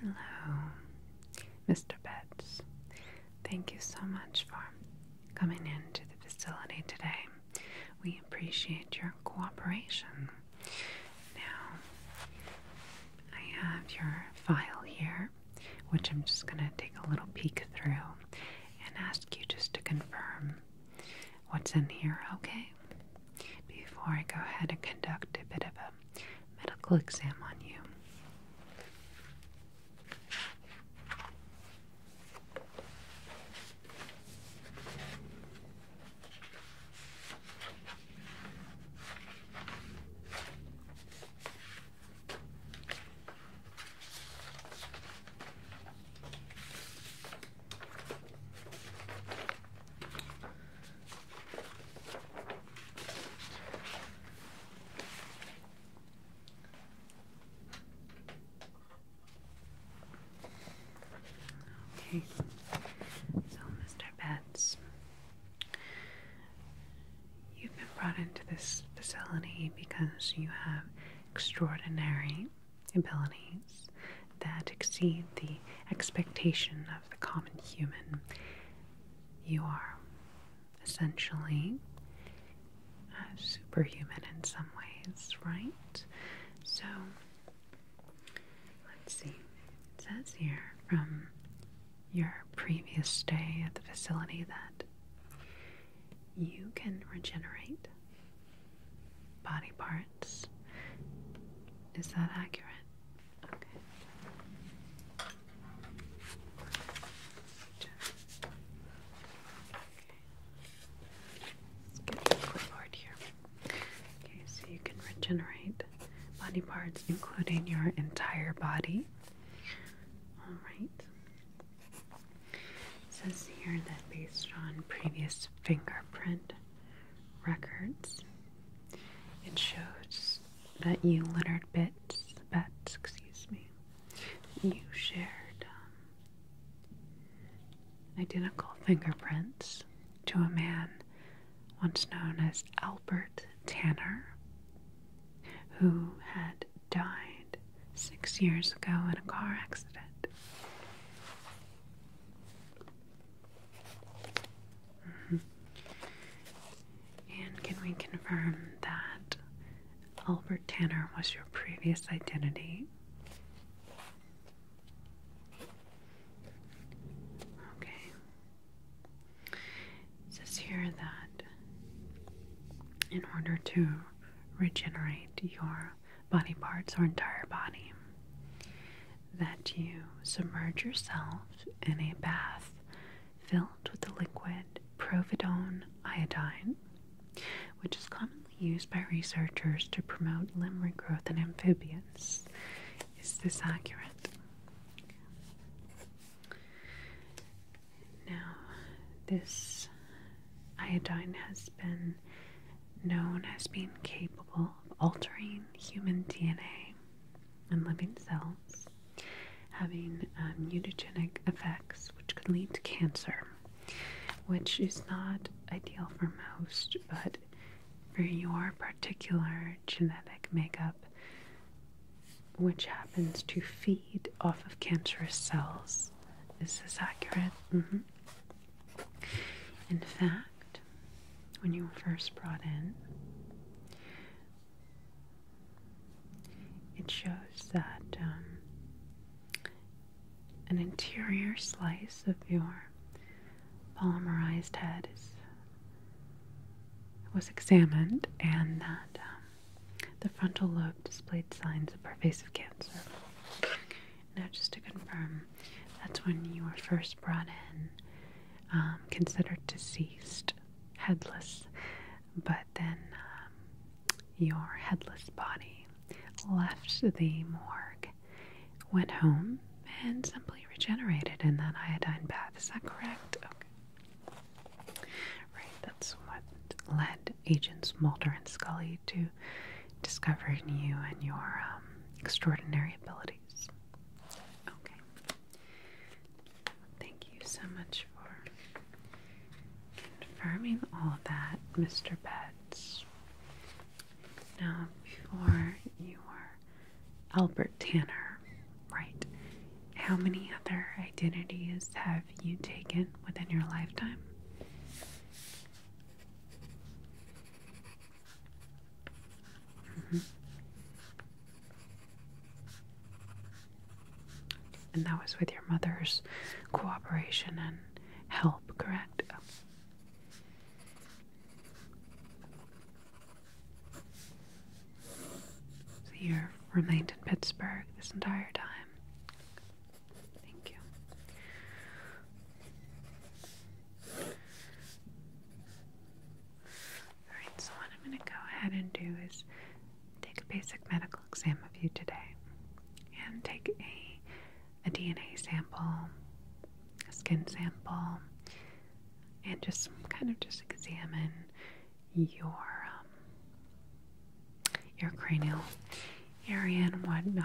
Hello, Mr. Betts. Thank you so much for coming into the facility today. We appreciate your cooperation. Now, I have your file here, which I'm just going to take a little peek through and ask you just to confirm what's in here, okay? before I go ahead and conduct a bit of a medical exam on you. Okay, so Mr. Betts, you've been brought into this facility because you have extraordinary ability that exceed the expectation of the common human, you are essentially superhuman in some ways, right? So, let's see. It says here from your previous stay at the facility that you can regenerate body parts. Is that accurate? Okay. Let's get the clipboard here. Okay, so you can regenerate body parts, including your entire body. All right. says here that based on previous fingerprint records. It shows that you littered bits, bets, excuse me, you shared um, identical fingerprints to a man once known as Albert Tanner, who had died six years ago in a car accident. Mm-hmm. And can we confirm that Albert Tanner was your previous identity? Okay. It says here that in order to regenerate your body parts or entire body, that you submerge yourself in a bath filled with the liquid providone iodine, which is commonly used by researchers to promote limb regrowth in amphibians. Is this accurate? Now, this iodine has been known as being capable altering human DNA in living cells, having um, mutagenic effects which could lead to cancer, which is not ideal for most, but for your particular genetic makeup, which happens to feed off of cancerous cells. Is this accurate? Mm-hmm. In fact, when you were first brought in, it shows that um, an interior slice of your polymerized head was examined and that um, the frontal lobe displayed signs of pervasive cancer. Now, just to confirm, that's when you were first brought in, um, considered deceased, headless, but then um, your headless body left the morgue, went home, and simply regenerated in that iodine bath. Is that correct? Okay. Right, that's what led Agents Mulder and Scully to Discovering you and your um, extraordinary abilities. Okay. Thank you so much for confirming all of that, Mr. Betts. Now, before you were Albert Tanner, right? How many other identities have you taken within your lifetime? Mm-hmm. And that was with your mother's cooperation and help, correct? Oh. So you remained in Pittsburgh this entire time. Thank you. Alright, so what I'm going to go ahead and do is take a basic medical exam of you today and take a, a DNA sample, a skin sample, and just kind of just examine your um, your cranial area and whatnot.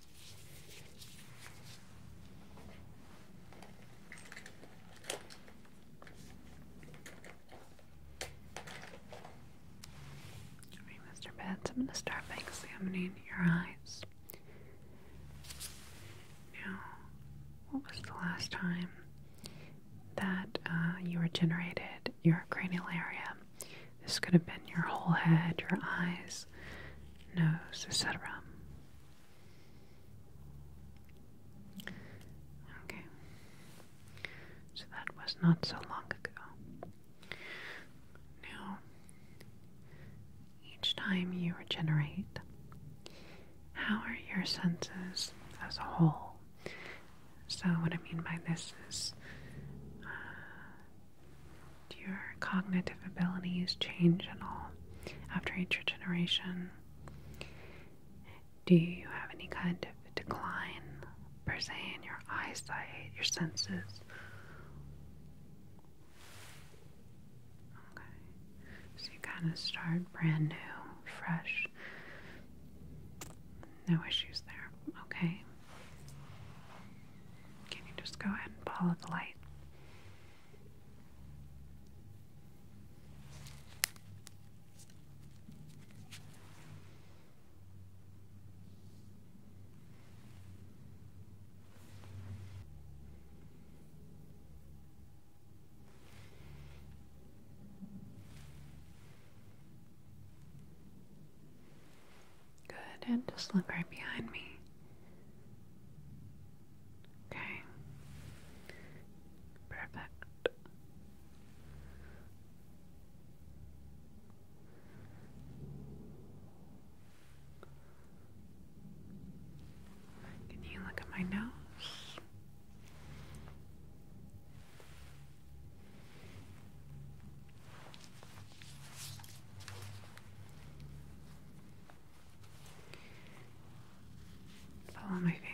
Mr. Betts, I'm going to start by examining your eyes. Now, what was the last time that uh, you regenerated your cranial area? This could have been your whole head, your eyes, nose, etc. Okay. So that was not so long ago. Now, each time you regenerate, how are your senses as a whole? So, what I mean by this is uh, do your cognitive abilities change at all after each regeneration? Do you have any kind of decline per se in your eyesight, your senses? Okay. So you kind of start brand new, fresh. No issues there. Okay. Can you just go ahead and follow the light? Good, and just look right behind me. Okay. Perfect. Can you look at my nose? Follow my finger.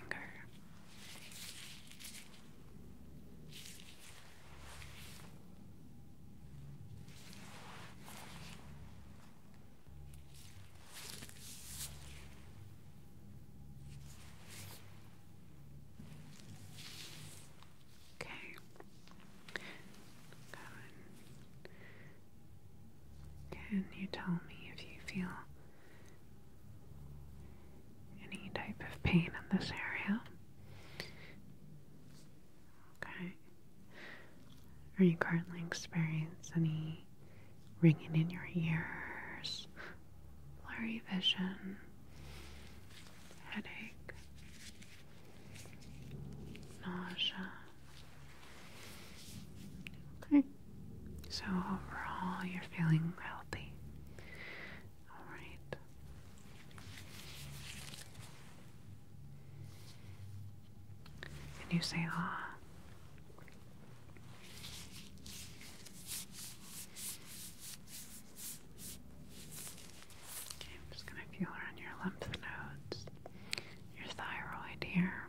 Okay. Can you tell me if you feel any type of pain in this area? Okay. Are you currently experiencing any ringing in your ears, blurry vision, headache? nausea. Okay, so overall, you're feeling healthy. All right. And you say, ah. I'm just going to feel around your lymph nodes, your thyroid here.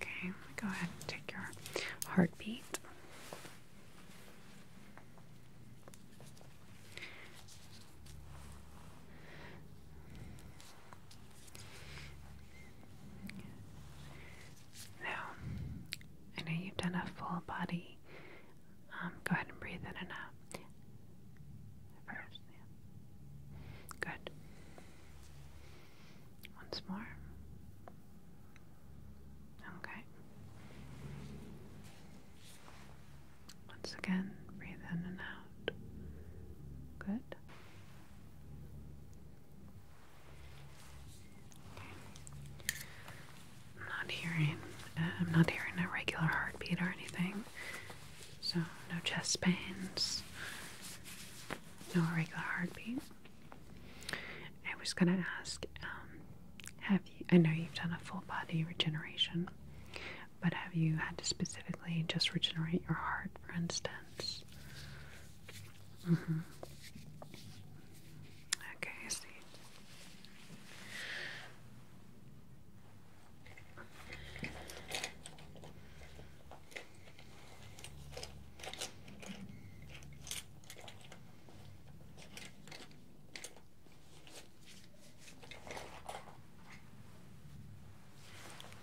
Okay, go ahead and take your heartbeat. Now, I know you've done a full body. Um, go ahead and breathe in and out. First, Good. Once more. Okay. Once again, breathe in and out. Good. I'm not hearing. Uh, I'm not hearing a regular heartbeat or anything. So no chest pains. No regular heartbeat. I was gonna ask. Um, have you? I know you've done a full body regeneration, but have you had to specifically just regenerate your heart, for instance? Mm-hmm. Okay,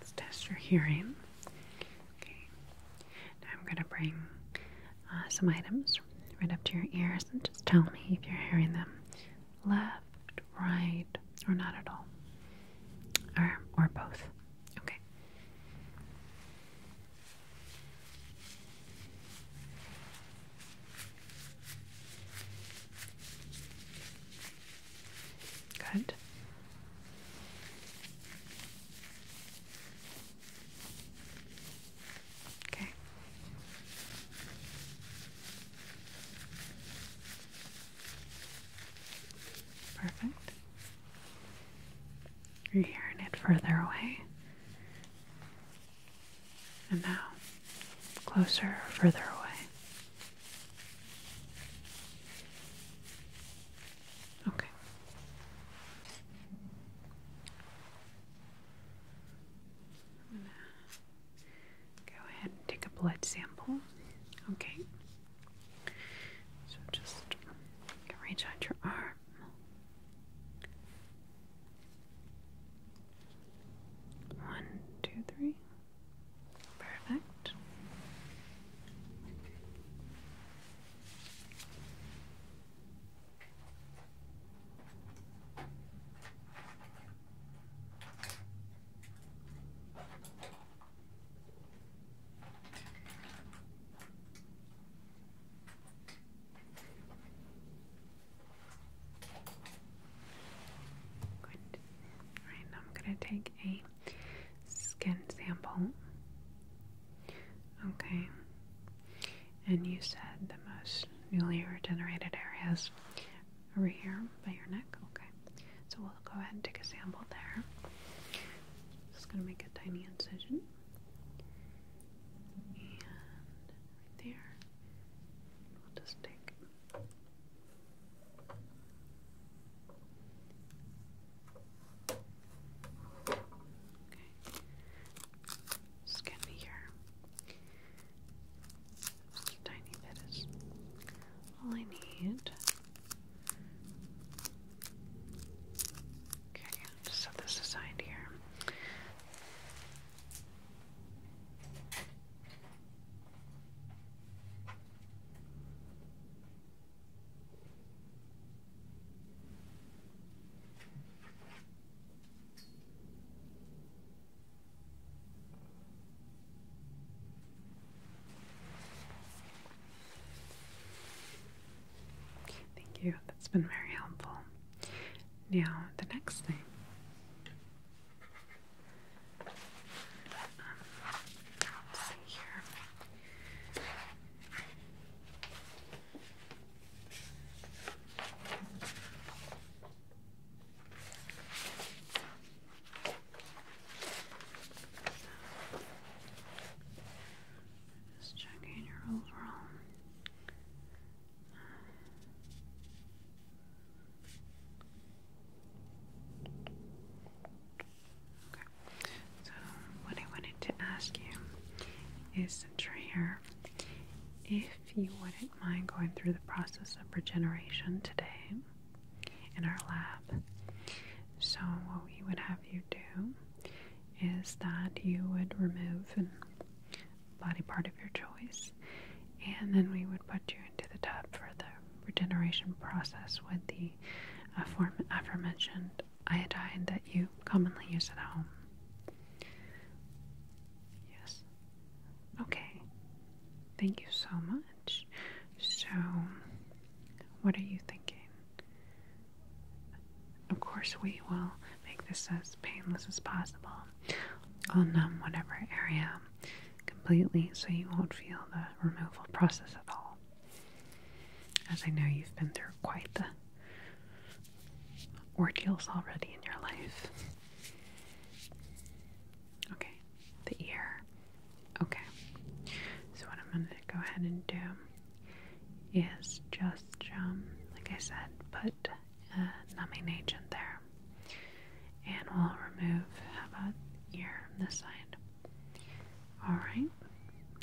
Let's test your hearing. Okay. I'm going to bring uh, some items right up to your ears and just tell me if you're hearing them left, right, or not at all, or, or both. Okay. Good. Okay. Perfect. You're hearing it further away. And now, closer or further away. Okay. go ahead and take a blood sample. Okay. So just reach out your arm. One, two, three. Perfect. All right, now I'm going to take a skin sample. Okay. And you said the most newly regenerated areas over here by your neck. Okay. So we'll go ahead and take a sample there. Just gonna make a tiny incision. And right there. We'll just take Okay. gonna be here. tiny bit is all I need. Okay, just set this aside here. Thank you, that's been very helpful. Now, the next thing. let's see here. Just checking your overall. Okay. So what I wanted to ask you is since if you wouldn't mind going through the process of regeneration today in our lab. So what we would have you do is that you would remove an body part of your choice and then we would put you into the tub for the regeneration process with the aforementioned iodine that you commonly use at home. Yes. Okay. Thank you so much. So, what are you thinking? Of course, we will make this as painless as possible. I'll numb whatever area completely so you won't feel the removal process at all. As I know you've been through quite the ordeals already in your life. Okay, the ear. Okay, so what I'm going to go ahead and do is just, um, like I said, put a numbing agent there. And we'll remove, how about ear on this side? Alright,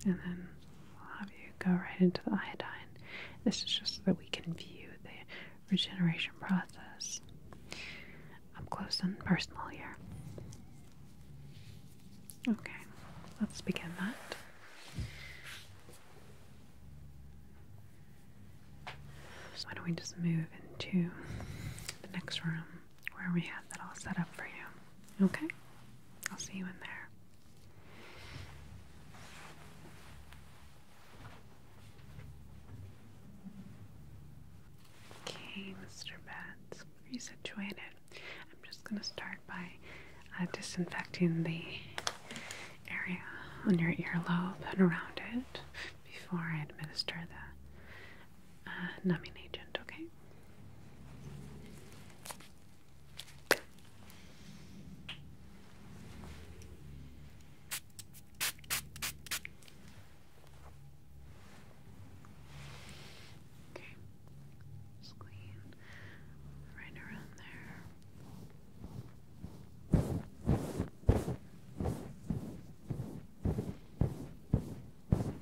and then we'll have you go right into the iodine. This is just so that we can view the regeneration process. I'm close and personal here. Okay, let's begin that. So why don't we just move into the next room? where we have that all set up for you. Okay? I'll see you in there. Okay, Mr. Betts, are you situated? I'm just going to start by uh, disinfecting the area on your earlobe and around it before I administer the uh, numbing agent, okay? Okay, right around there.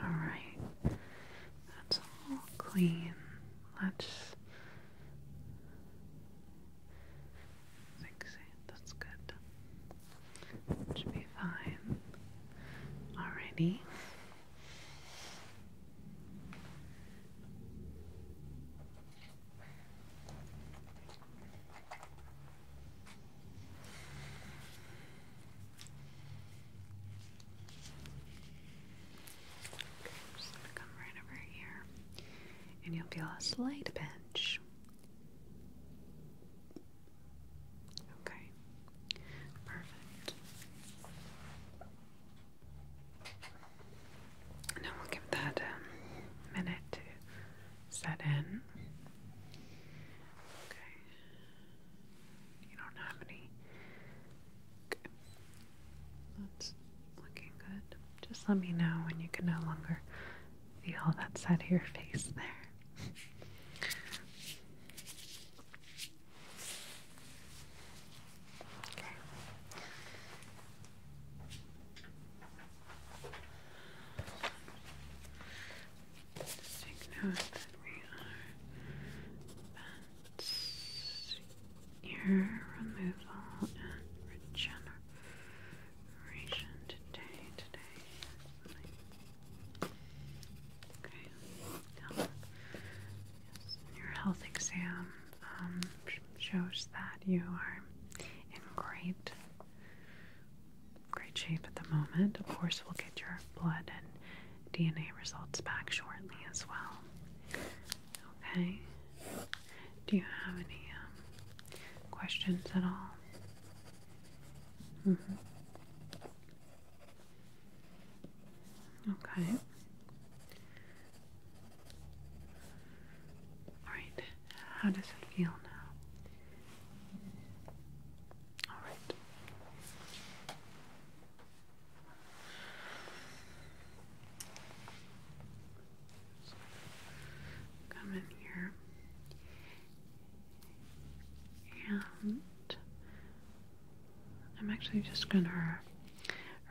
Alright, that's all clean. Let's fix it. That's good. should be fine. Alrighty. Okay, just gonna come right over here, and you'll feel a slight pinch. Okay, perfect. Now we'll give that a um, minute to set in. Okay. You don't have any. Okay. That's looking good. Just let me know when you can no longer feel that side of your face there. Okay. Just that we are ear removal and regeneration today. Today. Okay. yes, your health exam um, shows that you are in great great shape at the moment. Of course, we'll get your blood and DNA results back shortly as well. Okay. Do you have any um, questions at all? Mm-hmm. Okay. Alright, how does it feel now? Alright. Come in here and I'm actually just going to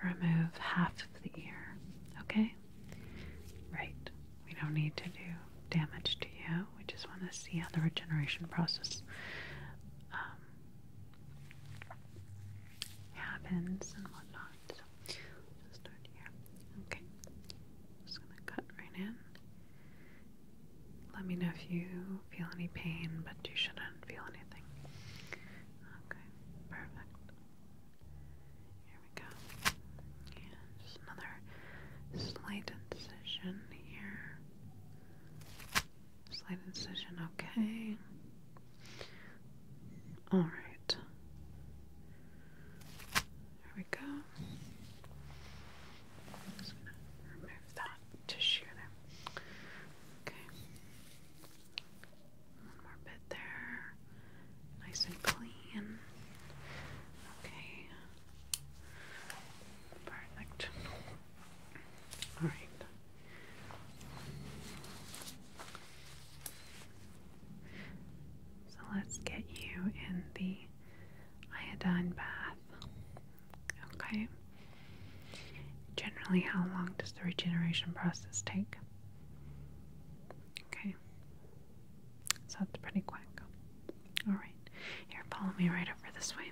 remove half of the ear, okay? Right. We don't need to do damage to you. We just want to see how the regeneration process um, happens and whatnot. So just start here. Okay. Just gonna cut right in. Let me know if you feel any pain, but you shouldn't feel anything. Okay, perfect. Here we go. just another slight incision here. Slight incision, okay. Alright. There we go. just gonna remove that tissue there. Okay. One more bit there. Nice and clean. Okay. Perfect. All right. So let's get you in the iodine bath. Okay. Generally, how long does the regeneration process take? Okay. So that's pretty quick. Alright, here, follow me right over this way.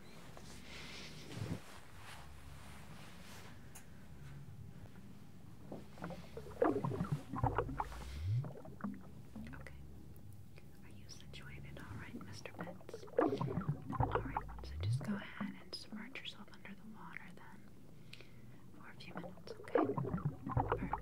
Okay. Are you situated alright, Mr. Pitts? Alright, so just go ahead and submerge yourself under the water then for a few minutes, okay? Perfect. Okay.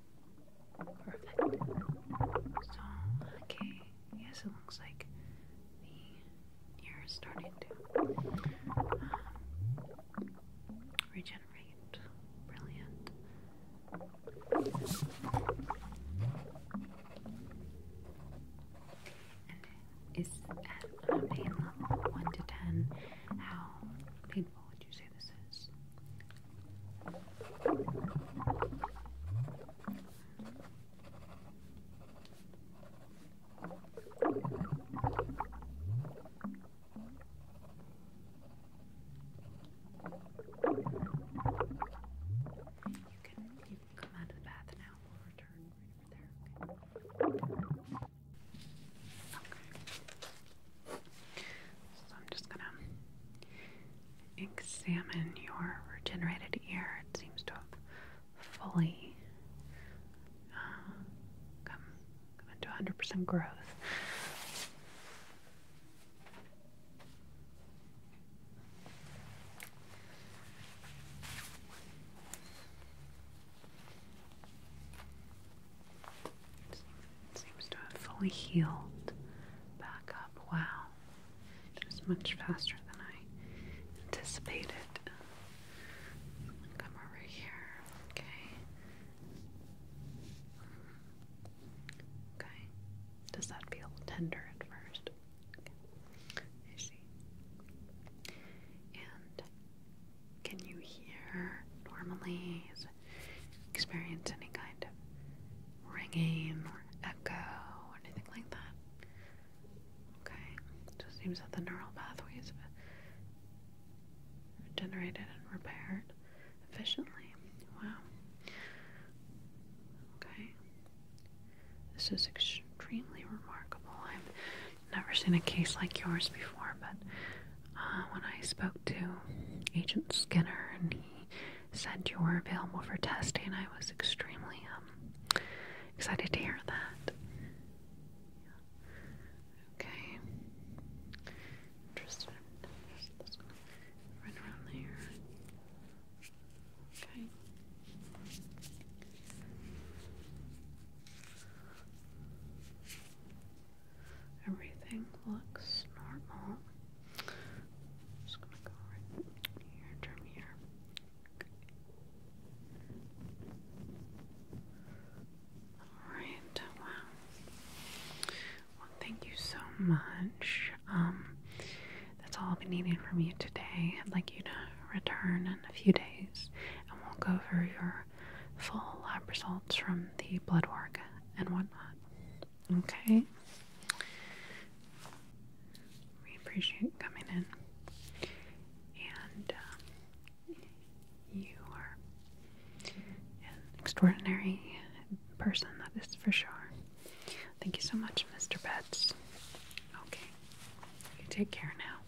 Perfect. okay, yes, it looks like the ear is starting to um, regenerate. Brilliant. And is at a pain level 1 to 10, how painful would you say this is? You can you can come out of the bath now. We'll return right over there. Okay. So I'm just gonna examine your regenerated ear. It seems to have fully uh, come, come into 100% growth seems to have fully healed back up. Wow. It was much faster than I anticipated. Come over here. Okay. Okay. Does that feel tender at first? Okay. I see. And can you hear normally? experience any kind of ringing or echo or anything like that? Okay, just seems that the neural pathways are generated and repaired efficiently. Wow. Okay, this is extremely remarkable never seen a case like yours before, but uh, when I spoke to Agent Skinner and he said you were available for testing, I was extremely um, excited to hear that. Okay. Interested. Right around there. Okay. Everything looks normal. just gonna go right here and here. Alright, Well, thank you so much. Um, that's all I'll be needing from you today. I'd like you to return in a few days and we'll go over your full lab results from the blood work and whatnot. Okay? We appreciate coming in. And uh, you are an extraordinary person, that is for sure. Thank you so much, Mr. Betts. Okay. You take care now.